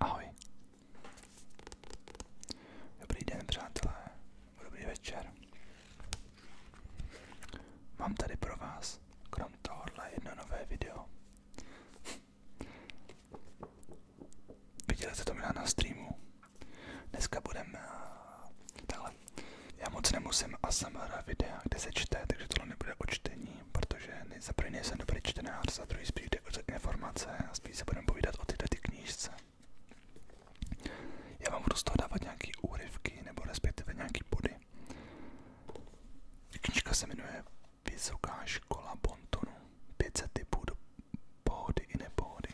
Ahoj. Dobrý den, přátelé. Dobrý večer. Mám tady pro vás, krom tohohle, jedno nové video. Viděli jste to na streamu. Dneska budeme eh, takhle já moc nemusím ASMR videa, kde se čte, takže tohle nebude o čtení, protože za první nejsem dobrý čtenář, za druhý spíš jde o informace a spíš se budeme povídat o tyto ty knížce. Já vám budu z toho dávat nějaký úryvky nebo respektive nějaký body. Knížka se jmenuje Vysoká škola Bontonu. 500 typů do pohody i nepohody.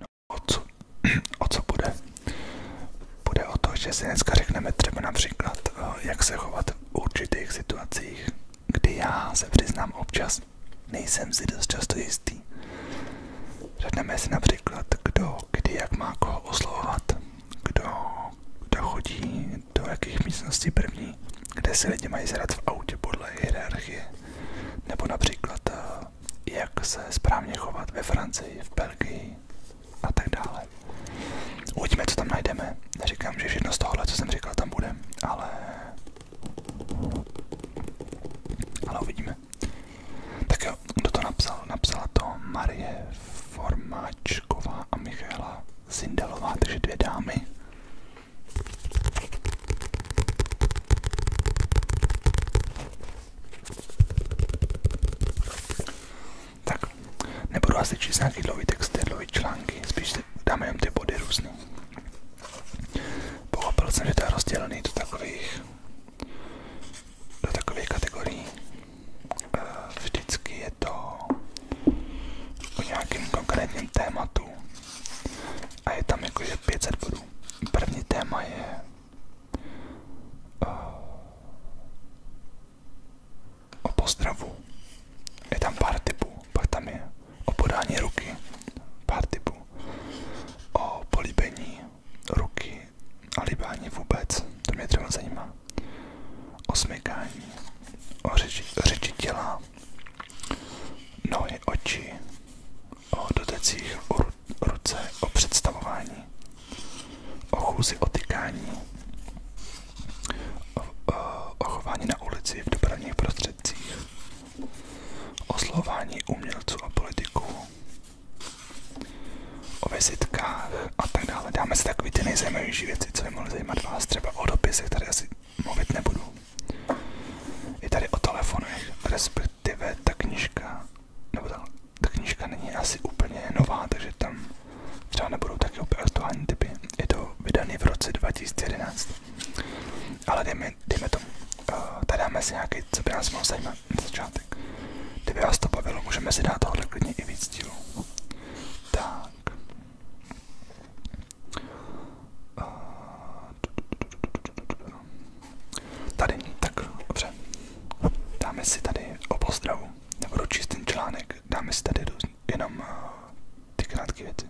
No, o, co, o co bude? Bude o to, že si dneska řekneme třeba například, eh, jak se chovat v určitých situacích, kdy já se přiznám občas, nejsem si dost často jistý. Řekneme si například, kdo, kdy, jak má koho oslovovat, kdo, kdo chodí do jakých místností první, kde si lidi mají zrad v autě podle hierarchie, nebo například eh, jak se správně chovat ve Francii, v Belgii a tak dále. Uvidíme, co tam najdeme. Neříkám, že všechno z tohohle, co jsem říkal, tam bude, ale... Ale uvidíme. Tak jo, kdo to napsal? Napsala to Marie Formáčková a Michaela Sindelová, takže dvě dámy. Tak, nebudu asi číst nějaký dlouhý texty, dlouhý články, spíš si dáme jenom ty body různý. Pochopil jsem, že to je rozdělený do takových do takových kategorií. Eh, vždycky je to o nějakém konkrétním tématu a je tam jakože 500 bodů. První téma je eh, o pozdravu. Je tam pár typů, pak tam je o podání ruky, pár typů, o políbení, ruky a libání vůbec, to mě třeba zajímá. O smykání, o řeči, řeči těla, nohy, oči, o dotecích, o ru, ruce, o představování, o chůzi, o tykání, o, o, o chování na ulici v dopravních prostředcích, o slování umělců a politiků, o vizitkách a tak dále. Dáme si takové ty nejzajímavější věci, co by mohly zajímat vás, třeba o dopisech, tady asi mluvit nebudu. Je tady o telefonech, respektive ta knižka, nebo ta, ta knižka není asi úplně nová, takže tam třeba nebudou taky úplně aktuální typy. Je to vydaný v roce 2011. Ale dejme, dejme tomu, eh, tady dáme si nějaký, co by nás mohlo zajímat na začátek. Kdyby vás to bavilo, můžeme si dát tohle klidně i víc dílů. Tak. Tady, tak dobře. Dáme si tady o pozdravu. Nebudu číst ten článek, dáme si tady jenom eh, ty krátké věci.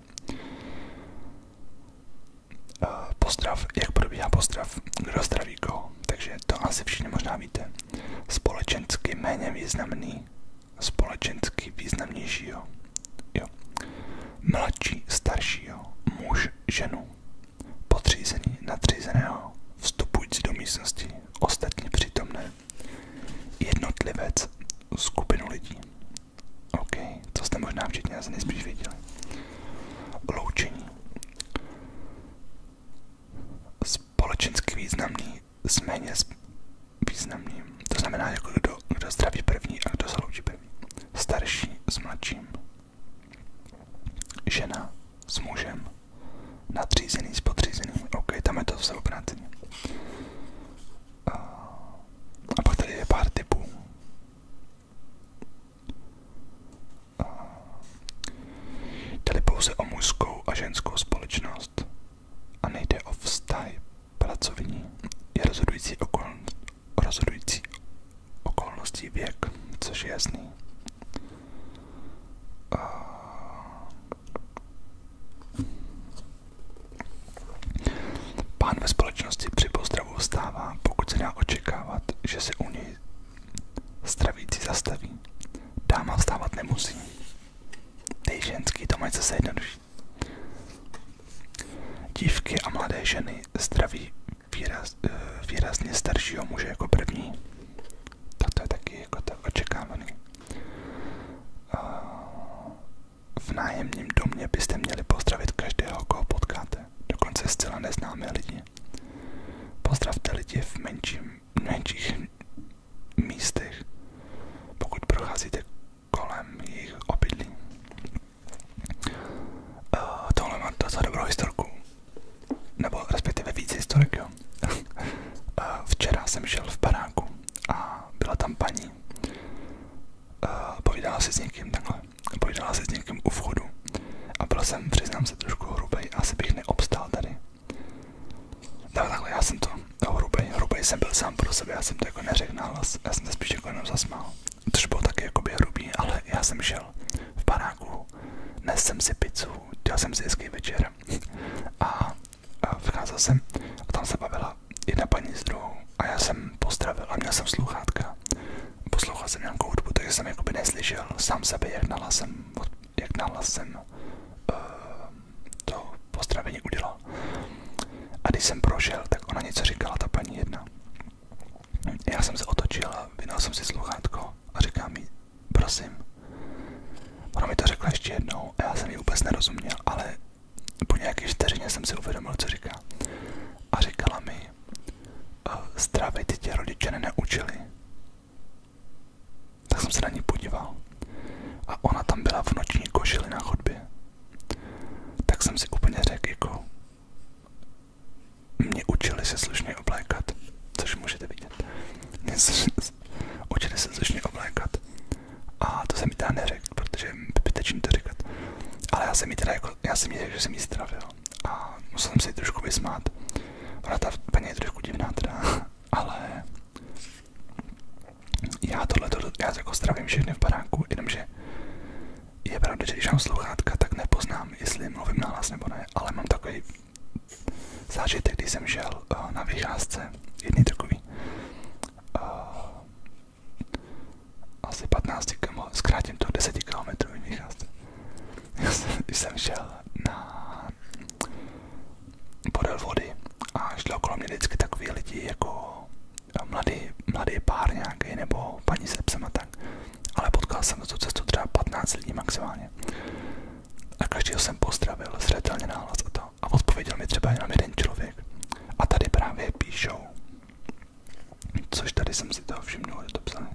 Eh, pozdrav, jak probíhá pozdrav, kdo zdraví koho, takže to asi všichni možná víte společensky méně významný, společensky významnějšího. Jo. Mladší, staršího, muž, ženu, podřízený, nadřízeného, vstupující do místnosti, ostatní přítomné, jednotlivec, skupinu lidí. OK, to jste možná včetně asi nejspíš věděli. Loučení společensky významný s méně významným. To znamená, jako kdo, kdo zdraví první a kdo slouží první. Starší s mladším. Žena s mužem. Nadřízený s podřízeným. OK, tam je to zase obráceně. A pak tady je pár typů. Tedy pouze o mužskou a ženskou společnost a nejde o vztahy pracovní. Je rozhodující, okoln, rozhodující okolností věk, což je jasný. Pán ve společnosti při pozdravu vstává, pokud se dá očekávat, že se u něj Stravící zastaví. Dáma vstávat nemusí. Ty ženský to mají zase jednodušší. Dívky a mladé ženy zdraví výraz, eh, výrazně staršího muže jako první. Tak to je taky jako tak očekávaný. V nájemním domě byste měli pozdravit každého, koho potkáte, dokonce zcela neznámé lidi. Pozdravte lidi v menším, menších místech, pokud procházíte kolem jejich obydlí. Uh, tohle má docela dobrou historku, nebo respektive více historik, jo. uh, včera jsem šel v baráku a byla tam paní. Uh, povídala se s někým takhle, povídala se s někým u vchodu a byl jsem, přiznám se, trošku hrubej, asi bych neobstál tady. Tak takhle, já jsem to, no, hrubej, hrubej jsem byl sám pro sebe, já jsem to jako neřekl nahlas, já jsem to spíš jako jenom zasmál. Což bylo taky jako jakoby hrubý, ale já jsem šel v baráku, nesl jsem si pizzu, dělal jsem si hezký večer a, a vcházel jsem a tam se bavila jedna paní s druhou a já jsem pozdravil a měl jsem sluchátka. Poslouchal jsem nějakou hudbu, takže jsem jakoby neslyšel sám sebe, jak nahlas jsem jsem, jak nahlas jsem uh, to pozdravení udělal. A když jsem prošel, tak ona něco říkala, ta paní jedna. Já jsem se otočil a vynal jsem si sluchátko a říkám mi, prosím. Ona mi to řekla ještě jednou a já jsem ji vůbec nerozuměl, ale po nějaké vteřině jsem si uvědomil, co říká. A říkala mi, eh, zdravej, ty tě rodiče nenaučili, tak jsem se na ní podíval. A ona tam byla v noční košili na chodbě. Tak jsem si úplně řekl, jako mě učili se slušně oblékat, což můžete vidět. Mě se, učili se slušně oblékat. A to jsem mi teda neřekl, protože je zbytečný to říkat. Ale já jsem mi teda jako, já jsem mi řekl, že jsem ji zdravil jo. A musel jsem se ji trošku vysmát. Ona ta paní je trošku divná teda, ale já tohle, já to jako stravím všechny v baráku, jenomže je pravda, že když mám sluchátka, tak nepoznám, jestli mluvím nahlas nebo ne, ale mám takový zážitek, když jsem šel uh, na vycházce, jedný takový, uh, asi 15 km, zkrátím to 10 km vycházce jsem šel na podél vody a šlo kolem mě vždycky takový lidi jako eh, mladý, mladý pár nebo paní se tak. Ale potkal jsem na cestu třeba 15 lidí maximálně. A každého jsem pozdravil, zřetelně náhlas a to. A odpověděl mi třeba jenom jeden člověk. A tady právě píšou. Což tady jsem si toho všimnul, je to psané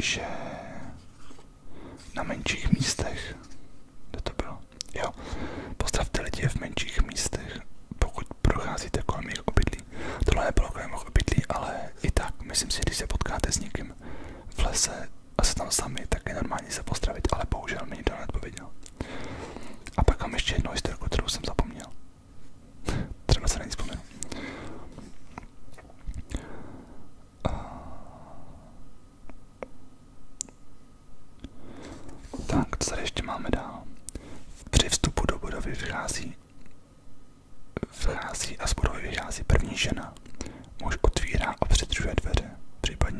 že na menších místech, kde to bylo, jo, postavte lidi v menších místech, pokud procházíte kolem jejich obydlí. Tohle nebylo kolem jejich obydlí, ale i tak, myslím si, když se potkáte s někým v lese a se tam sami, tak je normální se postravit, ale bohužel mi nikdo neodpověděl. A pak mám ještě jednu historiku, kterou jsem zapomněl. Třeba se na ní eh, Tak, co ještě máme dál? Při vstupu do budovy vchází, vchází a z budovy vychází první žena. Muž otvírá a přidržuje dveře. V případě,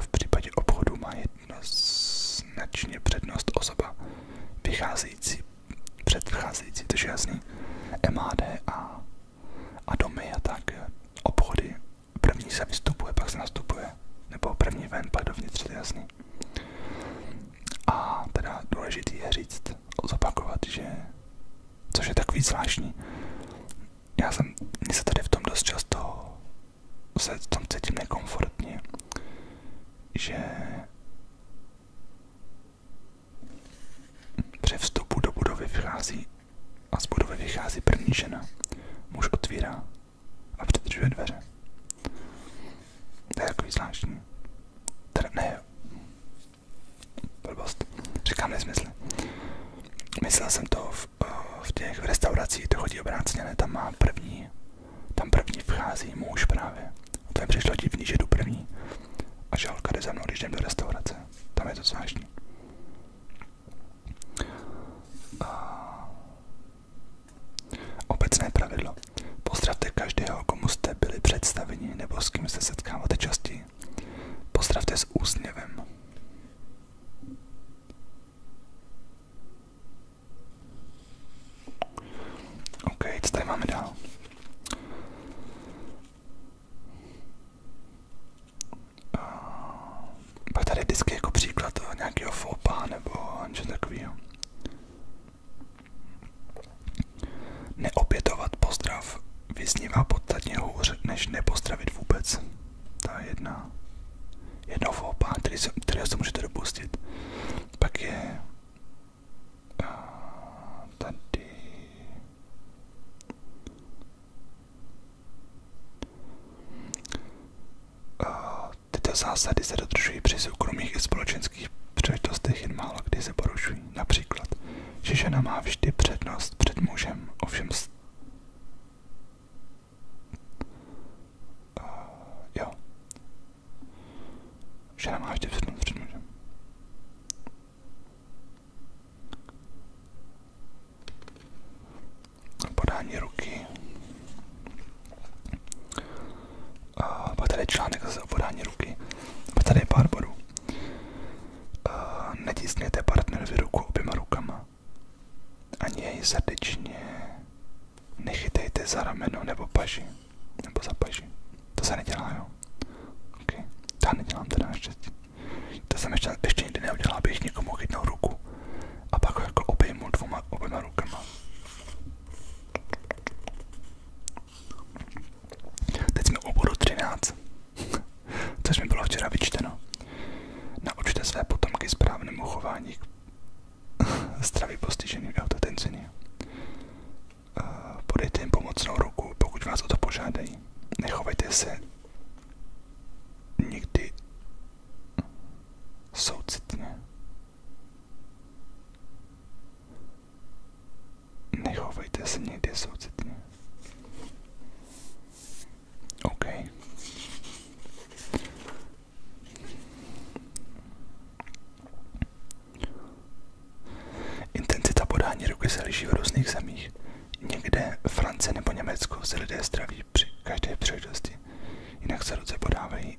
v případě obchodu má jednoznačně přednost osoba vycházející, předcházející, to je jasný, MAD a, a domy a tak, obchody, první se vystupuje, pak se nastupuje, nebo první ven, pak dovnitř, to je jasný. A teda důležitý je říct, zopakovat, že, což je takový zvláštní, já jsem, mně se tady v tom dost často se tam cítím nekomfortně, že při vstupu do budovy vychází a z budovy vychází první žena. Muž otvírá a přidržuje dveře. To je takový zvláštní. Teda ne, blbost, říkám nesmysl. Myslel jsem to v, v těch restauracích, to chodí obráceně, ne, tam má první tam první vchází muž právě. A to mi přišlo divný, že jdu první. A žalka jde za mnou, když jdem do restaurace. Tam je to zvláštní. A... Obecné pravidlo. Pozdravte každého, komu jste byli představeni nebo s kým se setkáváte častěji. Pozdravte s úsměvem. OK, co tady máme dál? Eh, pak tady vždycky jako příklad nějakého fopa nebo něco takového. Neopětovat pozdrav vyznívá podstatně hůř, než nepostravit vůbec. Ta jedna Jedno foupa, který se, kterého se můžete dopustit. Pak je tady tyto zásady se dodržují při soukromých i společenských příležitostech jen málo kdy se porušují. Například, že žena má vždy přednost před mužem, ovšem Eh, jo. Že nemá ještě před Podání ruky. Uh, tady je článek podání ruky. Pak tady je pár bodů. Uh, eh, Netiskněte partnerovi ruku oběma rukama. Ani jej srdečně nechytejte za rameno nebo paži. Nebo za paži. To se nedělá, jo. Okay. Já nedělám teda naštěstí. To jsem ještě, ještě nikdy neudělal, abych někomu chytnul ruku. A pak ho jako obejmu dvouma, oběma rukama. Teď jsme u bodu 13. Což mi bylo včera vyčteno. Naučte své potomky správnému chování zdraví postiženým autotenzině. Eh, podejte jim pomocnou ruku, pokud vás o to požádají. Nechovejte se nikdy soucitně. Nechovejte se nikdy soucitně. OK. Intenzita podání ruky se liší v různých zemích. Někde France nebo Německo se lidé zdraví při každé příležitosti, jinak se ruce podávají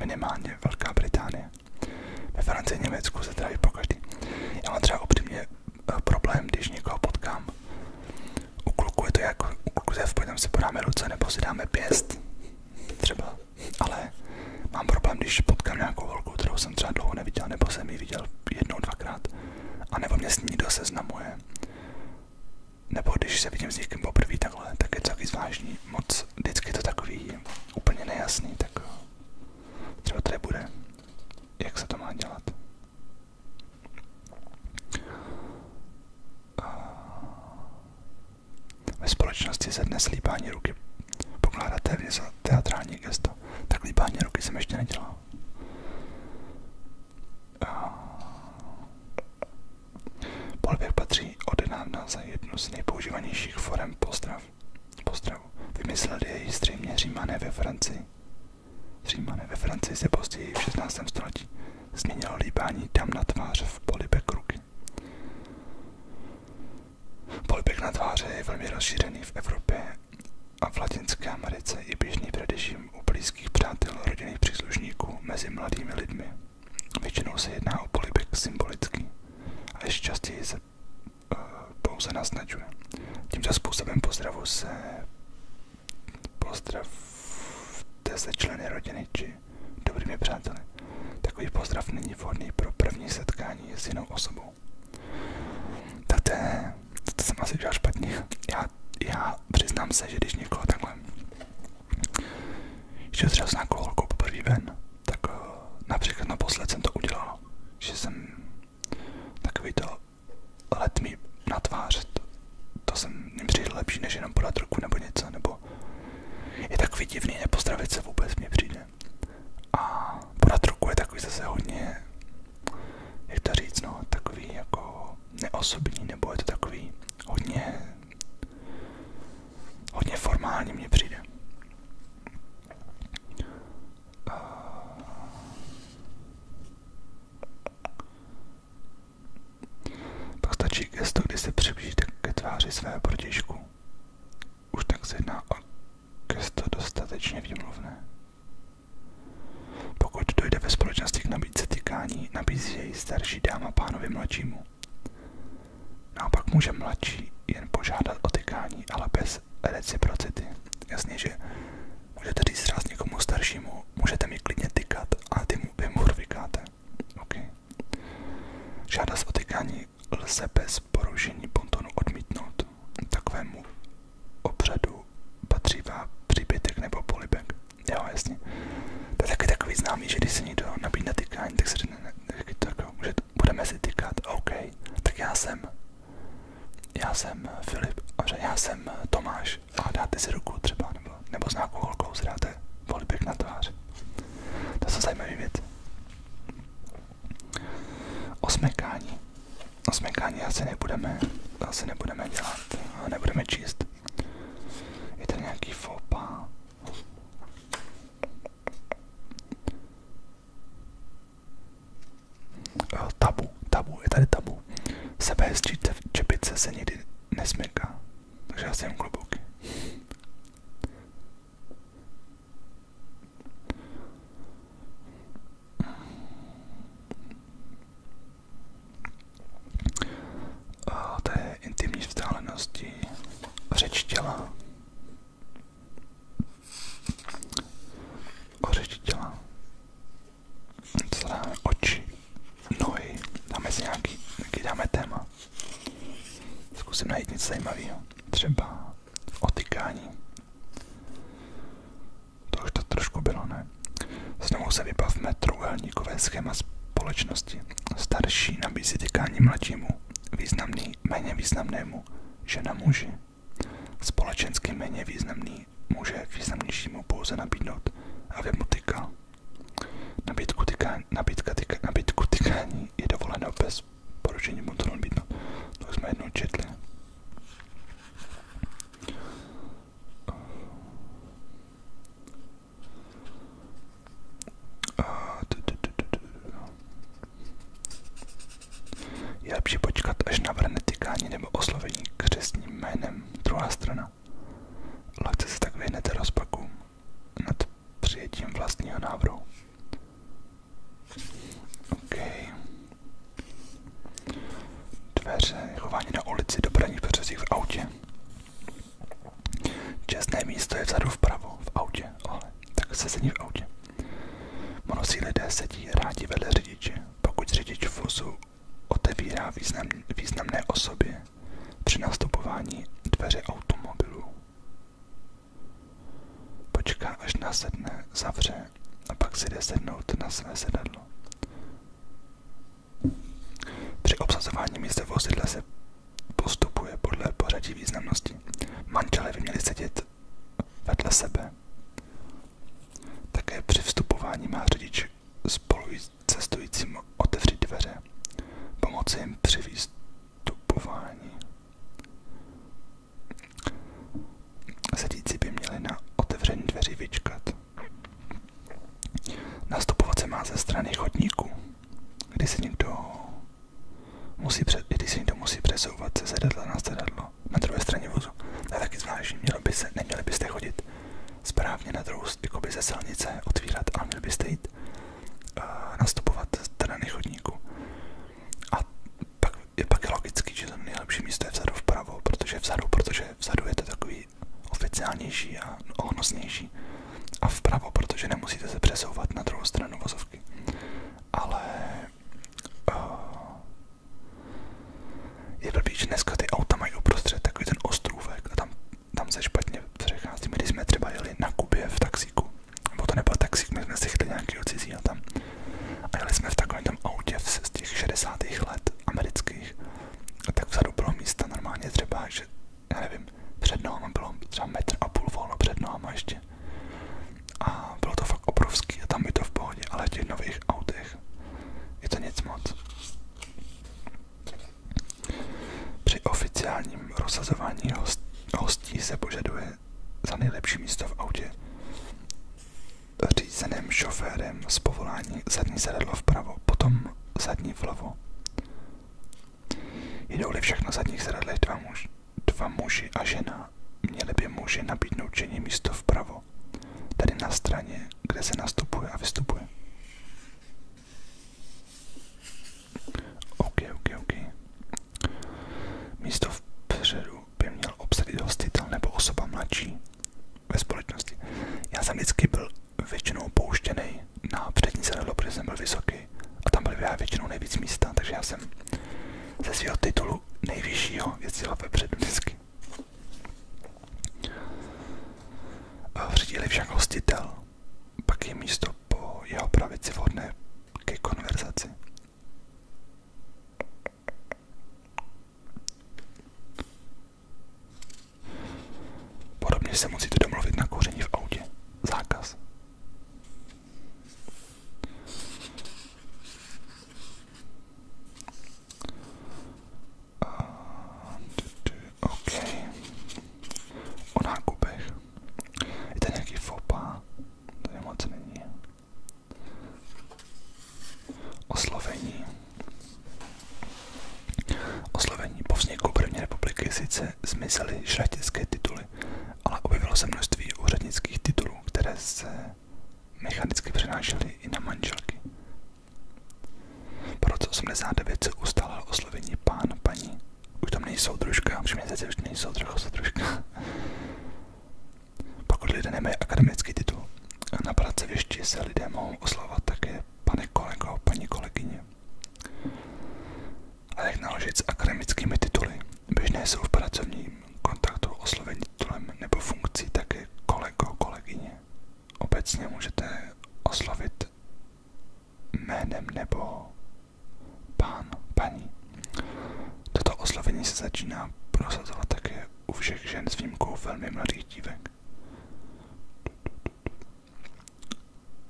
minimálně Velká Británie. Ve Francii Německu se tráví pokaždý. Já mám třeba optimně eh, problém, když někoho potkám u kluku je to jako u kluku v pojďme si podáme ruce nebo si dáme pěst. Třeba. Ale mám problém, když potkám nějakou holku, kterou jsem třeba dlouho neviděl, nebo jsem ji viděl jednou, dvakrát. A nebo mě s ní nikdo seznamuje. Nebo když se vidím s někým poprvé takhle, tak je to taky zvláštní. Moc vždycky je to takový úplně nejasný, tak třeba tady bude, jak se to má dělat. Ve společnosti se dnes líbání ruky pokládá téměř za teatrální gesto. Tak líbání ruky jsem ještě nedělal. Polběh patří odedávna za jednu z nejpoužívanějších forem pozdrav. Pozdravu. Vymysleli její zřejmě římané ve Francii. Římané ve Francii se později v 16. století změnilo líbání tam na tváře v polibek ruky. Polibek na tváře je velmi rozšířený v Evropě a v Latinské Americe i běžný především u blízkých přátel rodinných příslušníků mezi mladými lidmi. Většinou se jedná o polibek symbolický a ještě častěji se eh, pouze naznačuje. Tímto způsobem pozdravu se Pozdravte se členy rodiny či dobrými přáteli. Takový pozdrav není vhodný pro první setkání s jinou osobou. Tate, to jsem asi udělal špatně. Já, já přiznám se, že když někoho takhle, že třeba s nějakou holkou poprvé ven, tak eh, například naposled jsem to udělal, že jsem takový to letmý na tvář, to, to jsem mi přijde lepší, než jenom podat ruku nebo něco, nebo je takový divný nepozdravit se vůbec, mě přijde. A podat ruku je takový zase hodně, jak to říct, no, takový jako neosobní, nebo je to takový hodně, hodně formální mě přijde. Postačí gesto, kdy se přiblížíte ke tváři svého protěžku. Už tak se jedná o gesto dostatečně výmluvné. Pokud dojde ve společnosti k nabídce tykání, nabízí jej starší dáma pánovi mladšímu. Naopak může mladší jen požádat o tykání, ale bez reciprocity. Jasně, že můžete říct ráz někomu staršímu, můžete mi klidně tykat, ale ty mu, vy mu vykáte. Okay. Žádost o tykání lze bez porušení pontonu odmítnout. Takovému obřadu patří vám příbytek nebo polibek. Jo, jasně. To je taky takový známý, že když se někdo nabídne tykání, tak se řekne, tak může, jako, budeme si tykat, OK. Tak já jsem, já jsem Filip, a já jsem Tomáš když a dáte si ruku třeba, nebo, nebo s nějakou holkou si dáte polibek na tvář. To jsou zajímavé věci. Osmekání. Osmekání asi nebudeme, asi nebudeme dělat, a nebudeme číst. Je to nějaký fopa. Eh, tabu, tabu, je tady tabu sebou. Sebehezčí čepice se nikdy nesmyká. Takže já jsem klobouky. O té intimní vzdálenosti řeč těla. O řeči těla co dáme, oči, nohy, dáme si nějaký, taky dáme téma. Zkusím najít něco zajímavého, třeba otykání. To už to trošku bylo, ne? Znovu se vybavme trouhelníkové schéma společnosti. Starší nabízí tykání mladšímu, významný méně významnému, žena muži, společensky méně významný může k významnějšímu pouze nabídnout a mu tykal. Nabídku, tyká, nabídka, tyká, nabídku tykání je dovoleno bez porušení mu to nabídnout. To jsme jednou četli. Je lepší počkat, až navrhne tykání nebo oslovení křesním jménem druhá strana. Kristýna. Lehce se tak vyhnete rozpakům nad přijetím vlastního návrhu. OK. Dveře, chování na ulici, dopravní prostředí v autě. Čestné místo je vzadu vpravo, v autě, ale tak se sedí v autě. Mnozí lidé sedí rádi vedle řidiče, pokud řidič vozu otevírá význam, významné osoby při nastupování dveře automobilu. Počká, až nasedne, zavře a pak si jde sednout na své sedadlo. Při obsazování místa vozidla se postupuje podle pořadí významnosti. Manželé by měli sedět vedle sebe. Také při vstupování má řidič spolu s cestujícím otevřít dveře, pomoci jim při výstupování. Sedící by měli na otevření dveří vyčkat. Nastupovat se má ze strany chodníku, kdy se někdo musí, před, když se někdo musí přesouvat se sedadla na sedadlo na druhé straně vozu. To je taky zvláštní, mělo by se, neměli byste chodit správně na druhou by ze silnice otvírat, a měl byste jít nastupovat z strany chodníku. A pak je pak logický, že to nejlepší místo je vzadu vpravo, protože vzadu, protože vzadu je to takový oficiálnější a ohnosnější. A vpravo, protože nemusíte se přesouvat na druhou stranu vozovky. Ale je blbý, že dneska ty auta mají uprostřed takový ten ostrůvek a tam, tam se špatně přecházíme. Když jsme třeba jeli na Kubě v taxíku, nebo to nebyl taxík, my jsme si chtěli nějakého cizího tam. A jeli jsme v takovém tom autě z těch 60. let amerických, a tak vzadu bylo místa normálně třeba, že já nevím, před náma bylo třeba metr a půl volno před náma ještě. A bylo to fakt obrovský a tam je to v pohodě, ale v těch nových autech je to nic moc. Při oficiálním rozsazování host, se požaduje za nejlepší místo v šoférem z zadní sedadlo vpravo, potom zadní vlevo. Jdou-li však na zadních sedadlech dva, dva muži a žena, měli by muži nabídnout ženě místo vpravo vlevo, tedy na straně, kde se nastupuje a vystupuje. OK, OK, OK. Místo vpředu by měl obsadit hostitel nebo osoba mladší ve společnosti. Já jsem vždycky byl většinou pouštěný na přední sedadlo, protože jsem byl vysoký a tam byly většinou nejvíc místa, takže já jsem ze svého titulu nejvyššího jezdil vepředu vždycky. Řídili však hostitel, pak je místo po jeho pravici vhodné ke konverzaci. Podobně se musíte domluvit na kouření v autě. Zákaz. Uh, OK. O nákupech. Je to nějaký fopa? To moc není. Oslovení. Oslovení po vzniku první republiky sice zmizely šlechtické tituly, ale objevilo se množství úřednických titulů, které se mechanicky přenášely i na manželky. Po roce 89 se ustálo oslovení pán, paní. Už tam nejsou družka, už všimněte zase už nejsou trochu družka. Pokud lidé nemají akademický titul, na pracovišti se lidé mohou oslavovat také pane kolego, paní kolegyně. A jak naložit s akademickými tituly? Běžné jsou v pracovním kontaktu oslovení titulem nebo funkcí také kolego, kolegyně obecně můžete oslovit jménem nebo pán, paní. Toto oslovení se začíná prosazovat také u všech žen s výjimkou velmi mladých dívek.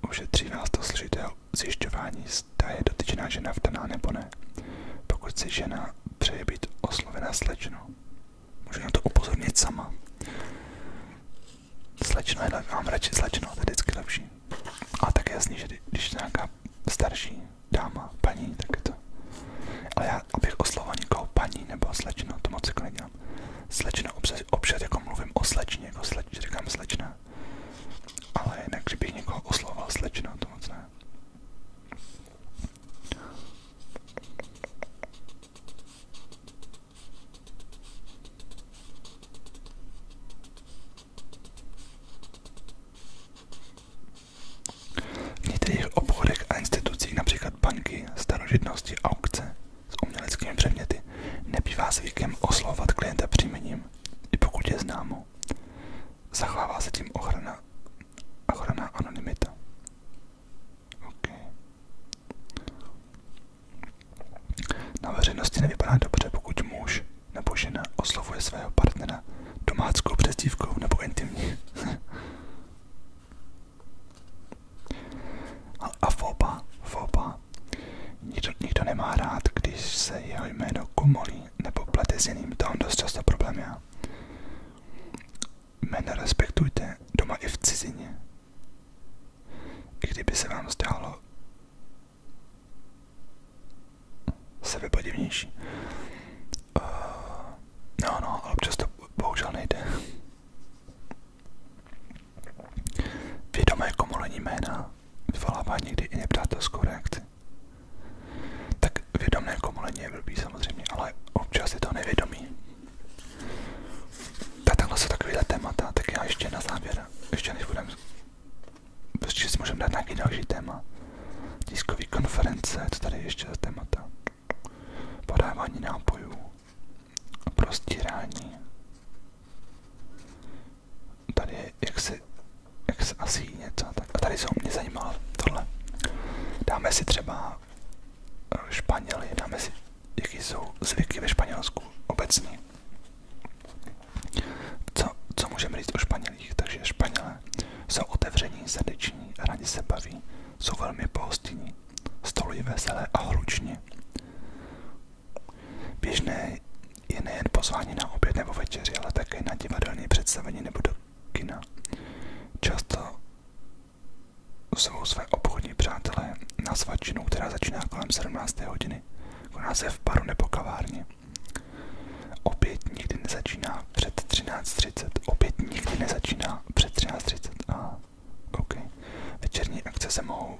Už Ušetří nás to složitého zjišťování, zda je dotyčná žena vdaná nebo ne, pokud si žena přeje být oslovena slečnou. Můžu na to upozornit sama. Slečno je lepší, mám radši slečno, to je vždycky lepší. A tak je jasný, že když je nějaká starší dáma, paní, tak je to. Ale já, abych oslovoval někoho paní nebo slečno, to moc jako nedělám. Slečno, občas, občas jako mluvím o slečně, jako sleč, říkám slečna. Ale jinak, kdybych někoho oslovoval slečno, to moc ne. V některých obchodech a institucích, například banky, starožitnosti, aukce s uměleckými předměty, nebývá zvykem oslovovat klienta příjmením, i pokud je známo. Zachovává se tím ochrana, ochrana anonymita. Okay. Na veřejnosti nevypadá dobře, pokud muž nebo žena oslovuje svého partnera domáckou přezdívkou nebo intimní. A foba, foba. Nikdo, nikdo nemá rád, když se jeho jméno komolí nebo plete s jiným, to on dost často problém já. Jména respektujte doma i v cizině. I kdyby se vám zdálo sebepodivnější. Uh, no, no, ale občas to bohužel nejde. Vědomé komolení jména vyvolává někdy i nepřátelskou reakci. Tak vědomé komolení je blbý samozřejmě, ale občas je to nevědomí. Tak takhle jsou takovýhle témata, tak ještě na závěr, ještě než budeme, prostě si můžeme dát nějaký další téma. Tiskový konference, co tady ještě za Podávání nápojů, prostírání. Tady je, asi něco, tak a tady jsou mě zajímalo tohle. Dáme si třeba Španěli, dáme si, jaký jsou zvyky ve Španělsku obecně. Co, co můžeme říct o Španělích? Takže Španělé jsou otevření, srdeční, rádi se baví, jsou velmi pohostinní, stolují veselé a hluční. Běžné je nejen pozvání na oběd nebo večeři, ale také na divadelní představení nebo do kina. Často Zvou své obchodní přátelé na svačinu, která začíná kolem 17. hodiny. Koná se v baru nebo kavárně. Opět nikdy nezačíná před 13.30. Opět nikdy nezačíná před 13.30. A OK. Večerní akce se mohou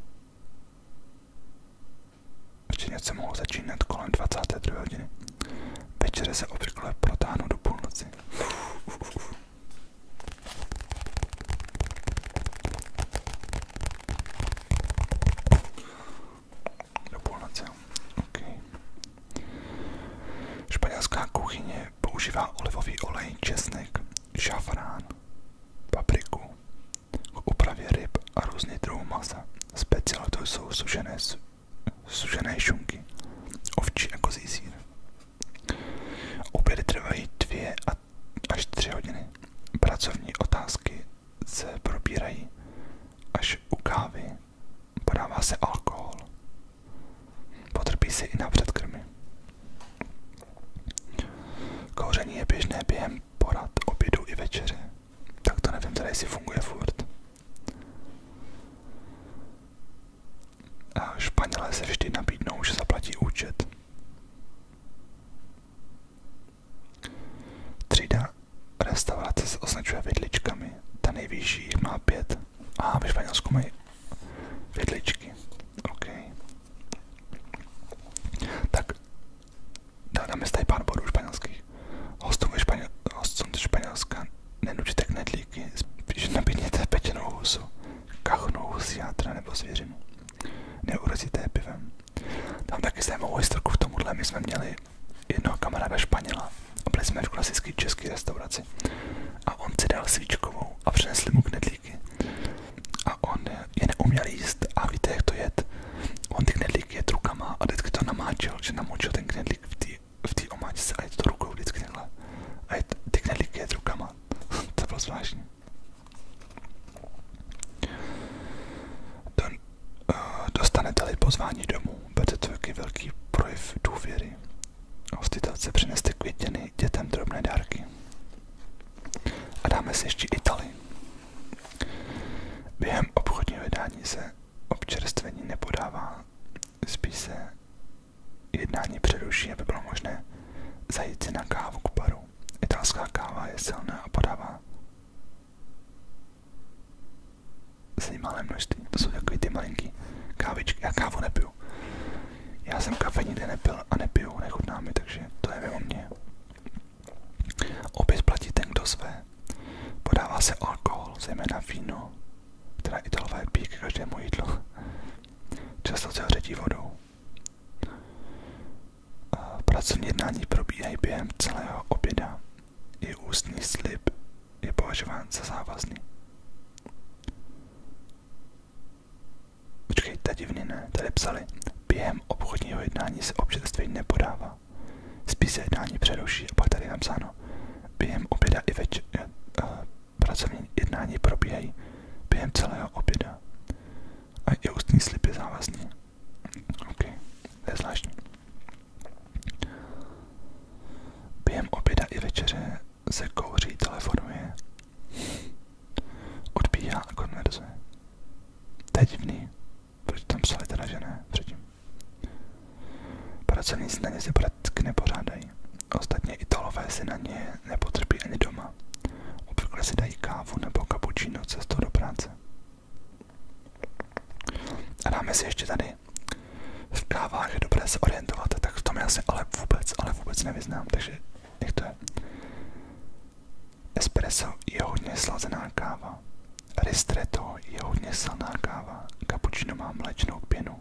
Večerně se mohou začínat kolem 22. hodiny. Večere se obvykle protáhnou do půlnoci. Uf, uf, uf. Do půlnoce, ok. Španělská kuchyně používá olivový olej, česnek, šafrán, papriku k úpravě ryb a různých druhů masa. Specialitou jsou sušené sužené šunky, ovčí a kozí sír. Obědy trvají dvě a až tři hodiny. Pracovní otázky se probírají až u kávy. Podává se alkohol. Potrpí se i na předkrmy. Kouření je běžné během porad, obědu i večeře. Tak to nevím, tady si funguje furt. Španělé se vždy nabídnou, že zaplatí účet. Třída restaurace se označuje vidličkami. Ta nejvyšší má pět. A ve Španělsku mají vidličky. OK. Tak dáme si tady pár bodů španělských. Hostům, španěl, hostům ze Španělska nenučte k knedlíky, spíš nabídněte pečenou husu, kachnou husí játra nebo zvěřinu. Neurozíte pivem. Tam taky zajímavou historku v tomuhle. My jsme měli jednoho kamaráda Španěla a byli jsme v klasické české restauraci. A on si dal svíčkovou a přinesli mu knedlíky. A on je neuměl jíst a víte, jak to jet. On ty knedlíky jet rukama a vždycky to namáčel, že namočil ten knedlík v té v té omáčce a jet to rukou vždycky takhle. A jet ty knedlíky jet rukama. to bylo zvláštní. Don, uh, dostanete-li pozvání domů, bude to jaký velký projev důvěry. Hostitelce přineste květiny, dětem drobné dárky. A dáme si ještě Itálii. Během obchodního vydání se občerstvení nepodává, spíš se jednání přeruší, aby bylo možné zajít si na kávu k baru. Italská káva je silná a podává se malé množství. To jsou takový ty malinký kávičky. Já kávu nepiju. Já jsem kafe nikdy nepil a nepiju, nechutná mi, takže to je mimo mě. Opět platí ten, kdo své. Podává se alkohol, zejména víno, která Italové pijí k každému jídlu. Často se hředí vodou. Pracovní jednání probíhají během celého oběda. je ústní slib je považován za závazný. Počkejte, divně ne, tady psali. Během obchodního jednání se občerství nepodává. Spíš jednání přeruší a pak tady je napsáno. Během oběda i večer eh, eh, pracovní jednání probíhají během celého oběda. A i ústní slib je závazný. OK, to je zvláštní. Během oběda i večeře se kouří, telefonuje, odbíhá a konverzuje. To je divný. Proč tam psali teda, že ne? Předtím. Pracovní na ně se prakticky nepořádají. Ostatně Italové si na ně nepotřebí ani doma. Obvykle si dají kávu nebo kapučíno cestou do práce. A dáme si ještě tady. V kávách je dobré se orientovat, tak v tom já se ale vůbec, ale vůbec nevyznám, takže jak to je. Espresso je hodně slazená káva. Ristretto je hodně slaná káva. Cappuccino má mlečnou pěnu.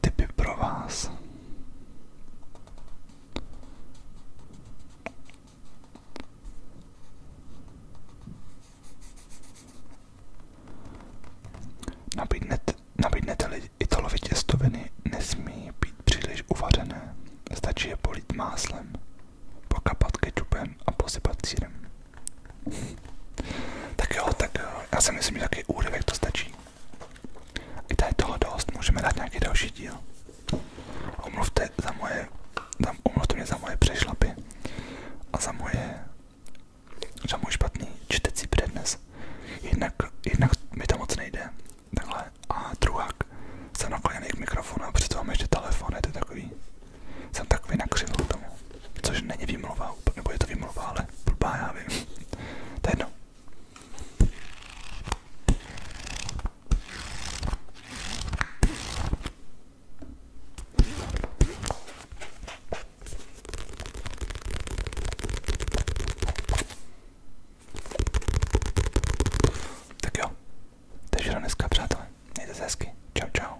typy pro vás. Nabídnete, nabídnete-li italovi těstoviny, nesmí být příliš uvařené. Stačí je polít máslem, pokapat kečupem a posypat sírem. tak jo, tak Já si myslím, že taky úryvek to stačí. I tady toho dost, můžeme dát nějaký další díl. Omluvte za moje, za, omluvte mě za moje přešlapy a za moje, za můj špatný čtecí přednes. Jednak, jednak mi to moc nejde, takhle, a druhák jsem nakloněný k mikrofonu a přece mám ještě telefon, je to takový, jsem takový nakřivl k tomu, což není výmluva, nebo je to výmluva, ale blbá, já vím, to je jedno. Tak jo, takže do dneska, přátelé. Mějte se hezky. Čau, čau.